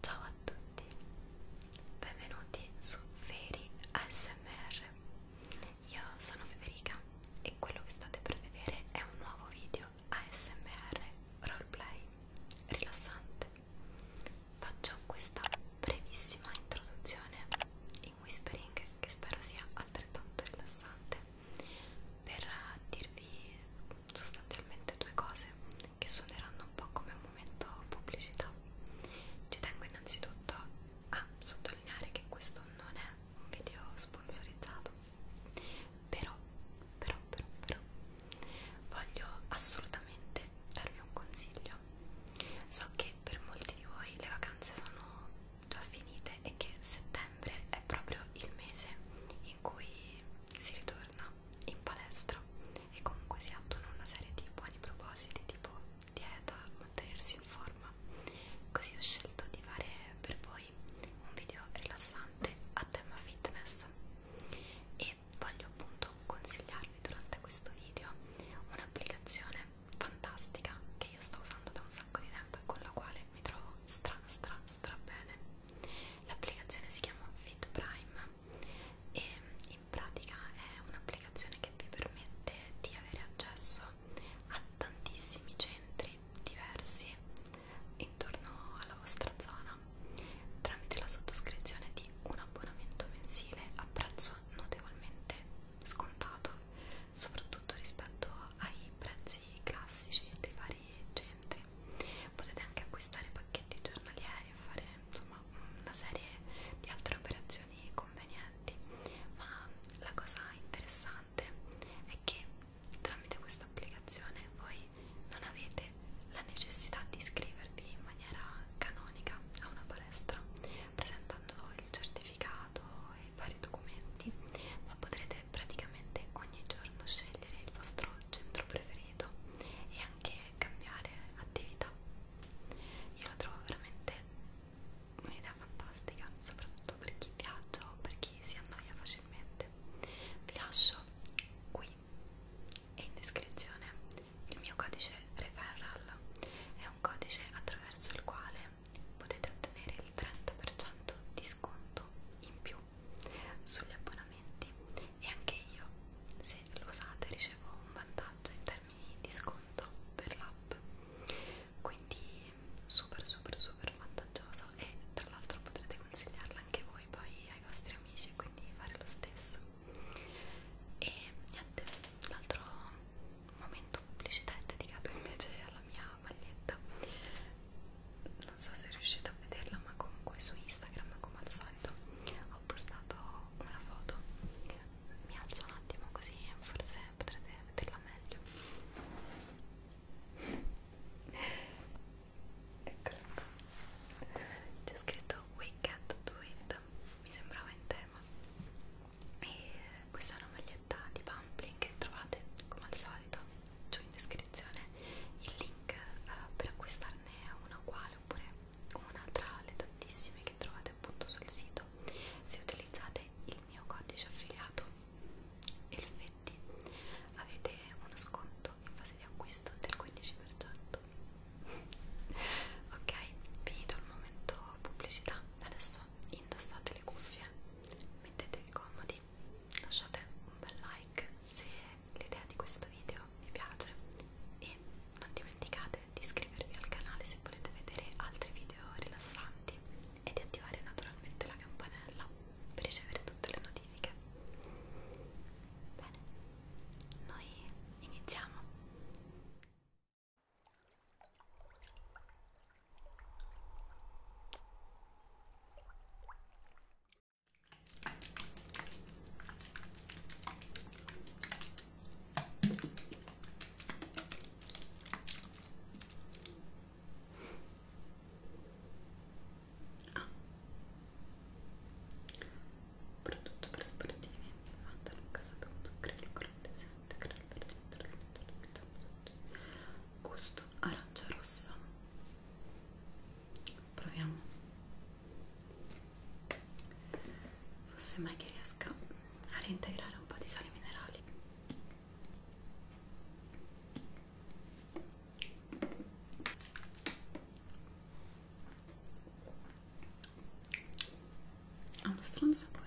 Ciao a tutti, benvenuti su Feri ASMR. Io sono Federica e quello che state per vedere è un nuovo video ASMR roleplay rilassante. Faccio questa brevissima introduzione in whispering che spero sia altrettanto rilassante per dirvi sostanzialmente due cose che suoneranno un po' come un momento pubblicità. Ci tengo innanzitutto a sottolineare che questo non è un video sponsorizzato, però, però, però, però, voglio assolutamente darvi un consiglio. So che per molti di voi le vacanze sono già finite e che settembre è proprio il mese in cui si ritorna in palestra e comunque si attuano una serie di buoni propositi tipo dieta, mantenersi in forma così ho scelto di fare per voi un video rilassante a tema fitness e voglio appunto consigliarvi durante questo video un'applicazione fantastica che io sto usando da un sacco di tempo e con la quale mi trovo stra stra stra bene l'applicazione si chiama Fit Prime e in pratica è un'applicazione che vi permette di avere accesso a tantissimi centri diversi intorno alla vostra zona tramite la sottoscrizione di un abbonamento mensile a prezzo notevolmente scontato soprattutto rispetto ai prezzi classici dei vari vari centri potete anche acquistare pacchetti giornalieri e fare insomma una serie di altre operazioni convenienti ma la cosa interessante è che tramite questa applicazione voi non avete la necessità di iscrivervi in maniera canonica a una palestra presentando il certificato e vari documenti ma potrete praticamente ogni giorno scegliere il vostro centro preferito preferito e anche cambiare attività. Io la trovo veramente un'idea fantastica, soprattutto per chi viaggia o per chi si annoia facilmente. Vi lascio qui e in descrizione il mio codice referral è un codice attraverso il quale potete ottenere il 30% di sconto in più sugli abbonamenti e anche io se lo usate ricevo un vantaggio in termini di sconto per l'app quindi super super super vantaggioso e tra l'altro potrete consigliarla anche voi poi ai vostri amici quindi fare lo stesso e niente l'altro momento pubblicità è dedicato invece alla mia maglietta non so se riuscite a vederla ma comunque su Instagram come al solito ho postato una foto mi alzo un attimo così forse potrete vederla meglio eccola c'è scritto We Can't Do It mi sembrava in tema e questa è una maglietta di Pumpling che trovate come al solito giù in descrizione il link uh, per acquistarne una qua uguale oppure una tra le tantissime che trovate appunto sul sito se utilizzate il mio codice affiliato Elfetti avete uno sconto in fase di acquisto del 15% ok finito il momento pubblicità adesso indossate le cuffie mettetevi comodi lasciate un bel like se l'idea di questo video vi piace e non dimenticate di iscrivervi al canale se volete vedere altri video rilassanti e di attivare naturalmente la campanella per ricevere tutte le notifiche. Bene, noi iniziamo. Ah. Prodotto per sportivi, fatto in casa tutto, acrilico, detergente, crema per detergente, gusto arancia rossa proviamo forse mai che riesca a reintegrare un po' di sali minerali ha uno strano sapore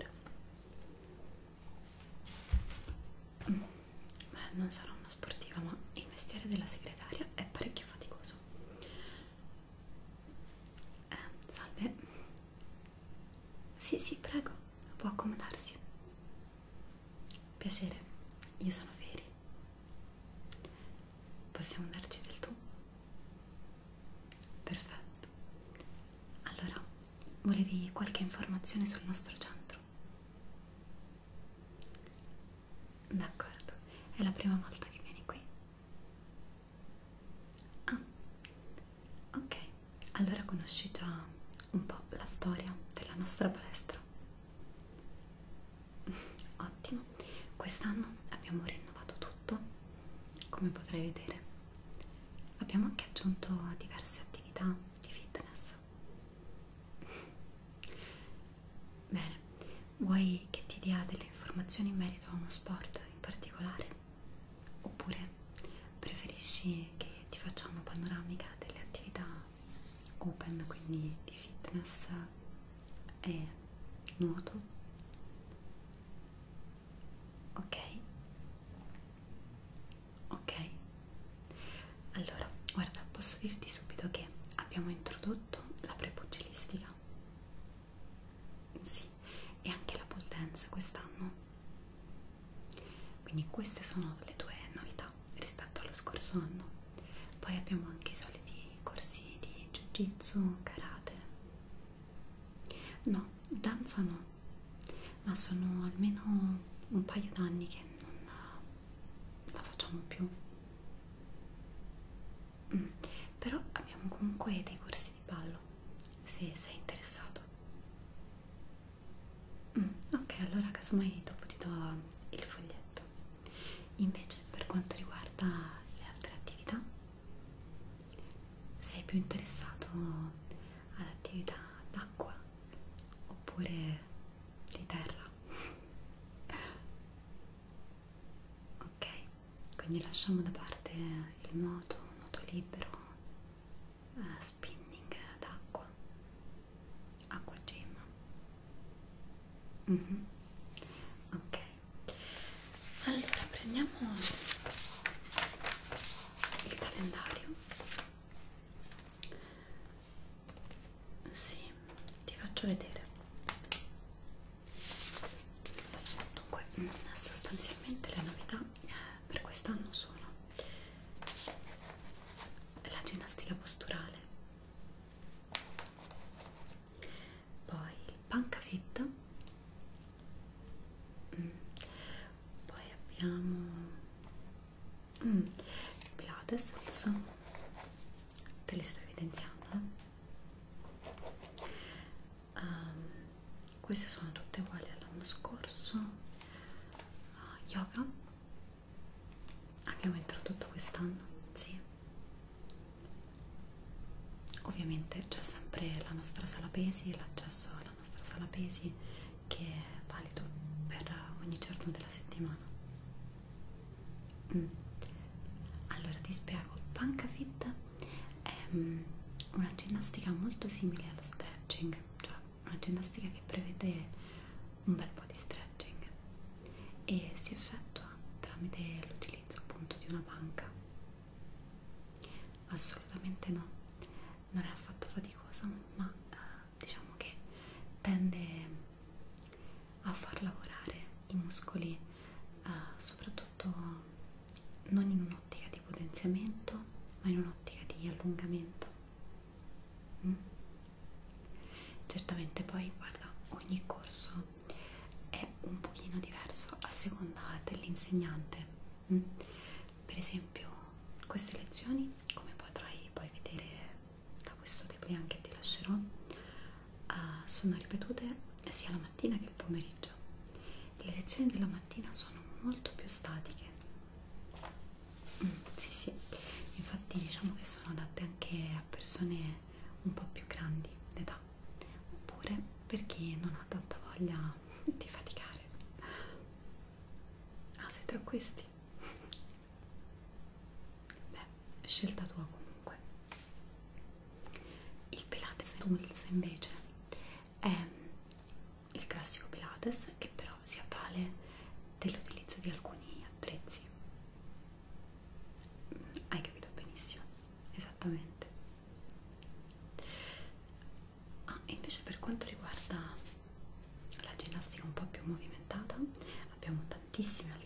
Beh, non sarò una sportiva ma il mestiere della segretaria è parecchio faticoso adesso eh, salve sì sì prego può accomodarsi piacere io sono Feri possiamo darci del tu perfetto allora volevi qualche informazione sul nostro centro D'accordo, è la prima volta che vieni qui. Ah, ok, allora conosci già un po' la storia della nostra palestra. Ottimo, quest'anno abbiamo rinnovato tutto, come potrai vedere. Abbiamo anche aggiunto diverse attività di fitness. Bene, vuoi che ti dia delle informazioni in merito a uno sport in particolare? Oppure preferisci che ti faccia una panoramica delle attività open, quindi di fitness e nuoto? Ok? Ok? Allora, guarda, posso dirti subito che abbiamo introdotto introdotto la prepugilistica. Sì, e anche la pole dance quest'anno. Quindi queste sono le due novità rispetto allo scorso anno. Poi abbiamo anche i soliti corsi di jiu-jitsu, karate. No, danza no, ma sono almeno un paio d'anni che non la facciamo più Mm. Però abbiamo comunque dei corsi di ballo, se sei interessato. Mm. Ok, allora casomai dopo ti do mm, il foglietto. Invece per quanto riguarda le altre attività, sei più interessato all'attività d'acqua oppure di terra? ok quindi lasciamo da parte il nuoto nuoto libero uh, spinning d'acqua acqua gym mm -hmm. ok allora prendiamo il calendario sì, ti faccio vedere. Dunque, sostanzialmente le novità per quest'anno sono la ginnastica posturale, poi il panca fit, mm. poi abbiamo mm. Pilates, salsa, te li sto evidenziando. Eh. Um, queste sono tutte uguali all'anno scorso uh, yoga abbiamo introdotto quest'anno sì ovviamente c'è sempre la nostra sala pesi l'accesso alla nostra sala pesi che è valido per ogni giorno della settimana Mm. Allora ti spiego, Pancafit è um, una ginnastica molto simile allo stretching, cioè una ginnastica che prevede un bel po' di stretching e si effettua tramite l'utilizzo appunto di una panca. Assolutamente no, non è affatto faticosa, ma eh, diciamo che tende a far lavorare i muscoli eh, soprattutto non in un'ottica di potenziamento ma in un'ottica di allungamento mm? certamente poi guarda ogni corso è un pochino diverso a seconda dell'insegnante mm? per esempio queste lezioni come potrai poi vedere da questo degree anche ti lascerò, uh, sono ripetute sia la mattina che il pomeriggio. Le lezioni della mattina sono molto più statiche. Mm, sì, sì, infatti diciamo che sono adatte anche a persone un po' più grandi d'età, oppure per chi non ha tanta voglia di faticare. Ah, sei tra questi? beh, scelta tua comunque. Il Pilates Tools invece è il classico Pilates che però si avvale dell'utilizzo di alcuni attrezzi. Mm, hai capito benissimo, esattamente. Ah, e invece per quanto riguarda la ginnastica un po' più movimentata abbiamo tantissime alternative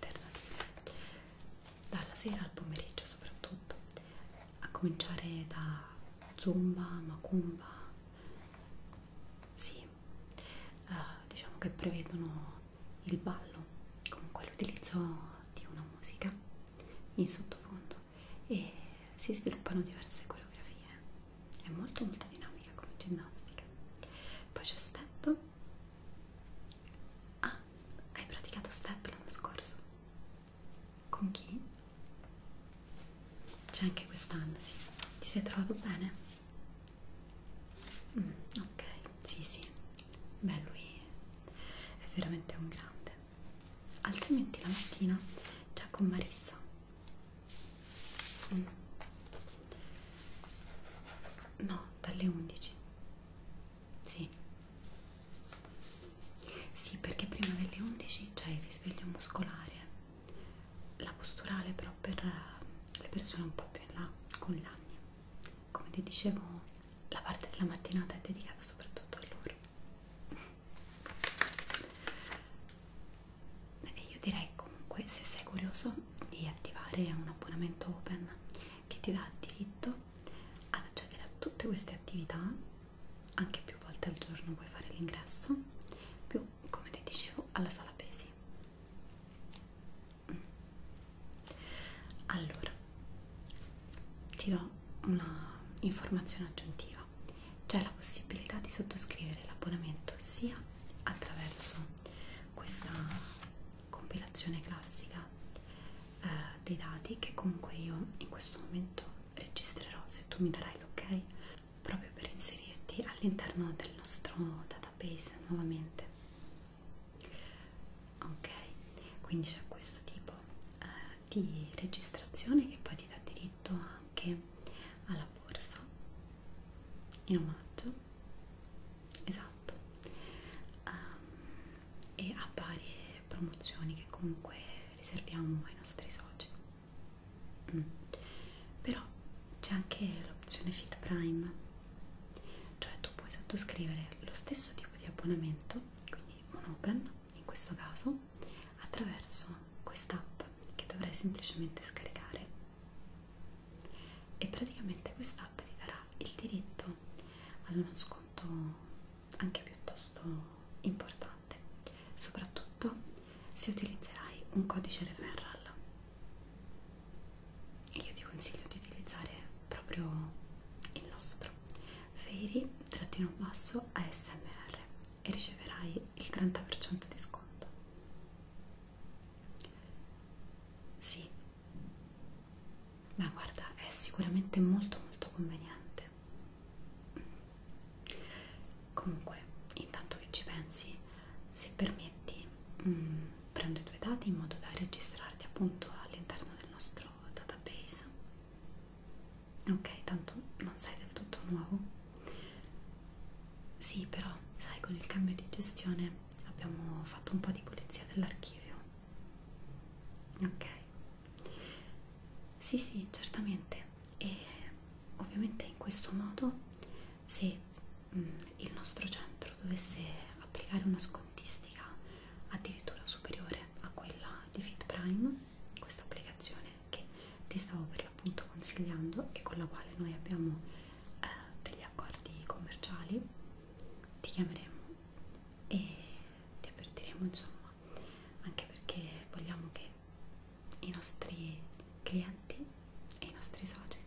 dalla sera al pomeriggio soprattutto, a cominciare da zumba, macumba, sì, uh, diciamo che prevedono il ballo, comunque l'utilizzo di una musica in sottofondo e si sviluppano diverse coreografie, è molto molto dinamica come ginnastica. Poi c'è step Ah, hai praticato step l'anno scorso? Con chi? C'è anche quest'anno, sì. Ti sei trovato bene? Mm, ok, sì, sì. Beh, lui è veramente un grande. Altrimenti la mattina c'è con Marissa. Mm. No, dalle 11. Sì. Sì, perché prima delle 11 c'è il risveglio muscolare, la posturale però per eh, le persone un po' più in là, con i lagni. Come ti dicevo, la parte della mattinata è dedicata soprattutto a loro. E io direi comunque, se sei curioso, di attivare un abbonamento open che ti dà il diritto ad accedere a tutte queste attività, anche più volte al giorno puoi fare l'ingresso, più come ti dicevo alla sala pesi. Mm. Allora, ti do una informazione aggiuntiva. C'è la possibilità di sottoscrivere l'abbonamento sia attraverso questa compilazione classica eh, dei dati che comunque io in questo momento registrerò se tu mi darai l'ok proprio per inserirti all'interno del nostro database nuovamente ok quindi c'è questo tipo eh, di registrazione che poi ti dà diritto anche alla borsa in omaggio esatto um, e a varie promozioni che comunque riserviamo ai nostri soci mm. però c'è anche l'opzione Fit Prime cioè tu puoi sottoscrivere lo stesso tipo di abbonamento quindi un open in questo caso attraverso quest'app che dovrai semplicemente scaricare e praticamente quest'app ti darà il diritto ad uno sconto anche piuttosto importante soprattutto se utilizzerai un codice referral io ti consiglio di utilizzare proprio il nostro Fairy-ASMR e riceverai il 30% di sconto sì, ma guarda è sicuramente molto molto conveniente comunque intanto che ci pensi se permetti mh, mm, prendo i tuoi dati in modo da registrarti appunto all'interno del nostro database ok tanto non sei del tutto nuovo sì però sai con il cambio di gestione abbiamo fatto un po' di pulizia dell'archivio ok sì sì certamente e ovviamente in questo modo se mh, mm, il nostro centro dovesse applicare una scontistica addirittura superiore a quella di Fit Prime questa applicazione che ti stavo per l'appunto consigliando e con la quale noi abbiamo eh, degli accordi commerciali ti chiameremo e ti avvertiremo insomma anche perché vogliamo che i nostri clienti e i nostri soci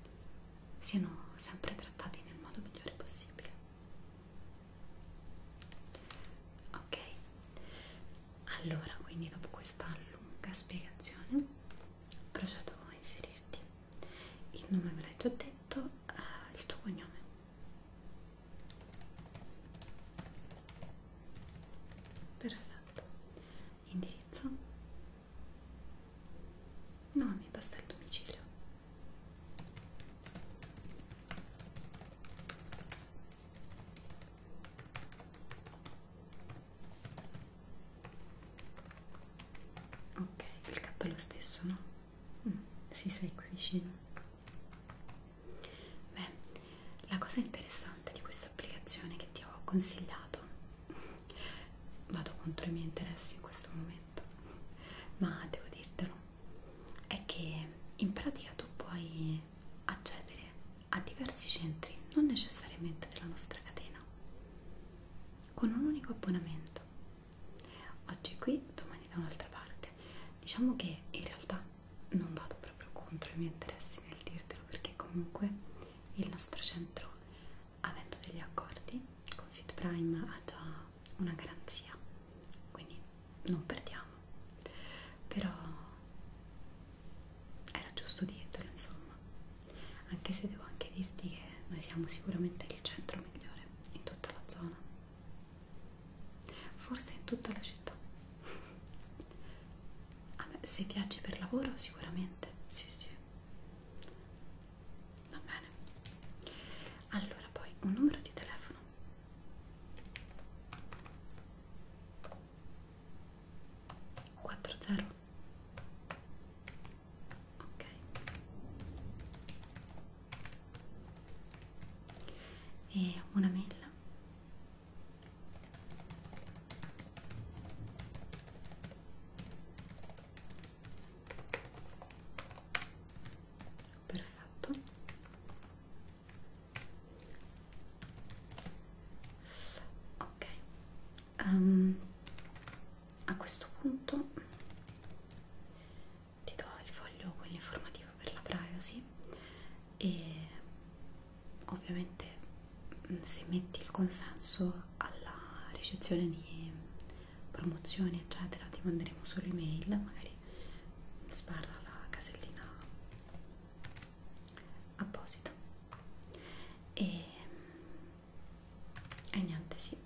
siano sempre trattati nel modo migliore possibile ok allora quindi dopo questa lunga spiegazione procedo a inserirti il nome ve l'hai già detto uh, il tuo cognome perfetto indirizzo no mi basta il domicilio ok il cappello stesso no si sei qui vicino beh la cosa interessante di questa applicazione che ti ho consigliato vado contro i miei interessi in questo momento ma devo dirtelo è che in pratica tu puoi accedere a diversi centri non necessariamente della nostra catena con un unico abbonamento oggi qui, domani da un'altra parte. Diciamo che in realtà non vado proprio contro i miei interessi nel dirtelo perché comunque il nostro centro, avendo degli accordi con Fit Prime, ha già una garanzia, quindi non perdiamo. Però era giusto dirtelo, insomma, anche se devo anche dirti che noi siamo sicuramente il centro migliore in tutta la zona forse in tutta la città ah, beh, se viaggi per lavoro sicuramente sì sì va bene allora poi un numero di telefono Quattro zero ok e una mela perfetto ok um, a questo punto ti do il foglio con l'informativa per la privacy e ovviamente mm, se metti il consenso alla ricezione di promozioni eccetera ti manderemo solo email magari sbarra la casellina apposita e e niente sì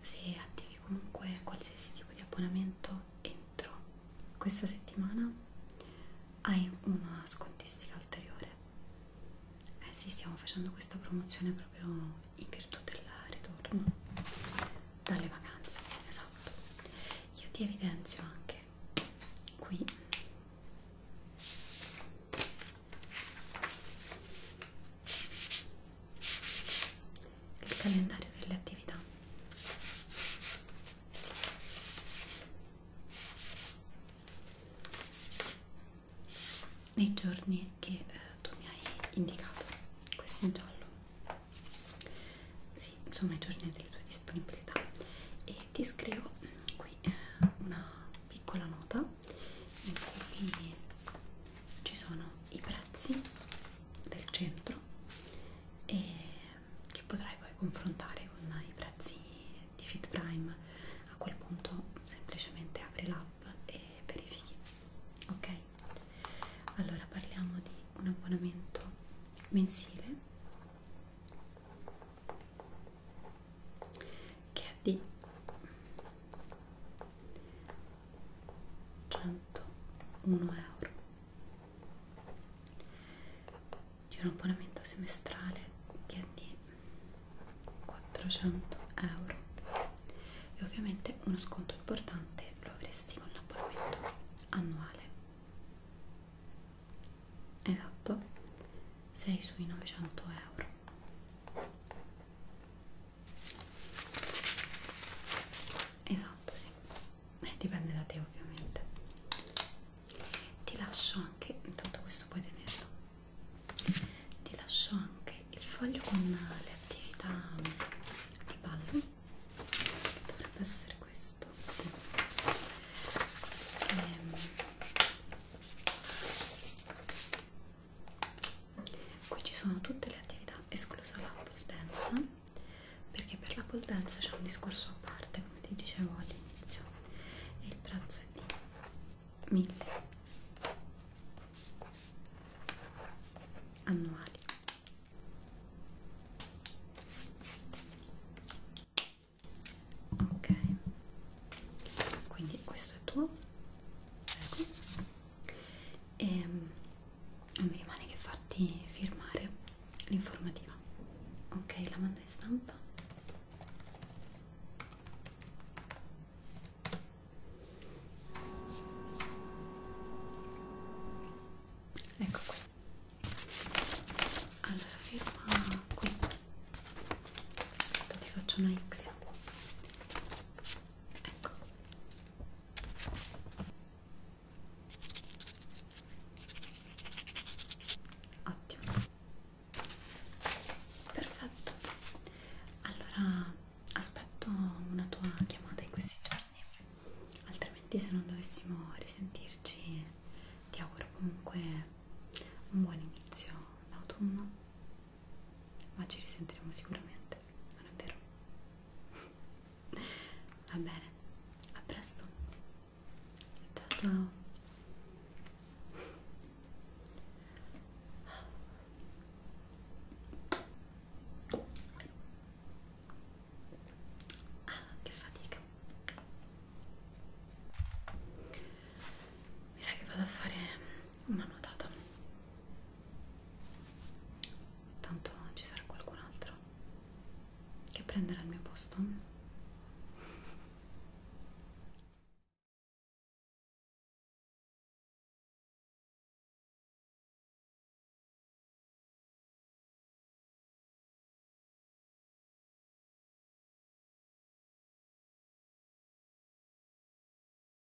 se attivi comunque qualsiasi tipo di abbonamento entro questa settimana hai una scontistica ulteriore eh sì stiamo facendo questa promozione proprio in virtù del ritorno dalle vacanze esatto io ti evidenzio anche qui il calendario delle attività nei giorni che eh, tu mi hai indicato questo in giallo sì, insomma i giorni delle tue disponibilità e ti scrivo mm, qui eh, una piccola nota in cui ci sono i prezzi del centro e che potrai poi confrontare con i prezzi di Fit Prime. A quel punto semplicemente apri l'app e verifichi. Ok? Allora parliamo di un abbonamento mensile che è verdi 101 euro di un abbonamento semestrale che è di 400 euro e ovviamente uno sconto importante lo avresti con l'abbonamento annuale esatto sei sui 900 euro esatto sì eh, dipende da te ovviamente ti lascio anche intanto questo puoi tenerlo ti lascio anche il foglio con le attività di ballo dovrebbe essere questo sì ehm, qui ci sono tutte le attività esclusa la pole dance perché per la pole dance c'è un discorso a parte come ti dicevo all'inizio e il prezzo è di 1000 annuali ok quindi questo è tuo ecco e non mi rimane che farti firmare l'informativa ok la mando in stampa ecco qui allora firma qui ti faccio una X ecco ottimo perfetto allora aspetto una tua chiamata in questi giorni altrimenti se non dovessimo risentirci ti auguro comunque un buon inizio d'autunno ma ci risentiremo sicuramente, non è vero? Va bene, a presto. Ciao ciao. Ah, che fatica. Mi sa che vado a fare una nuotata tanto ci sarà qualcun altro che prenderà il mio posto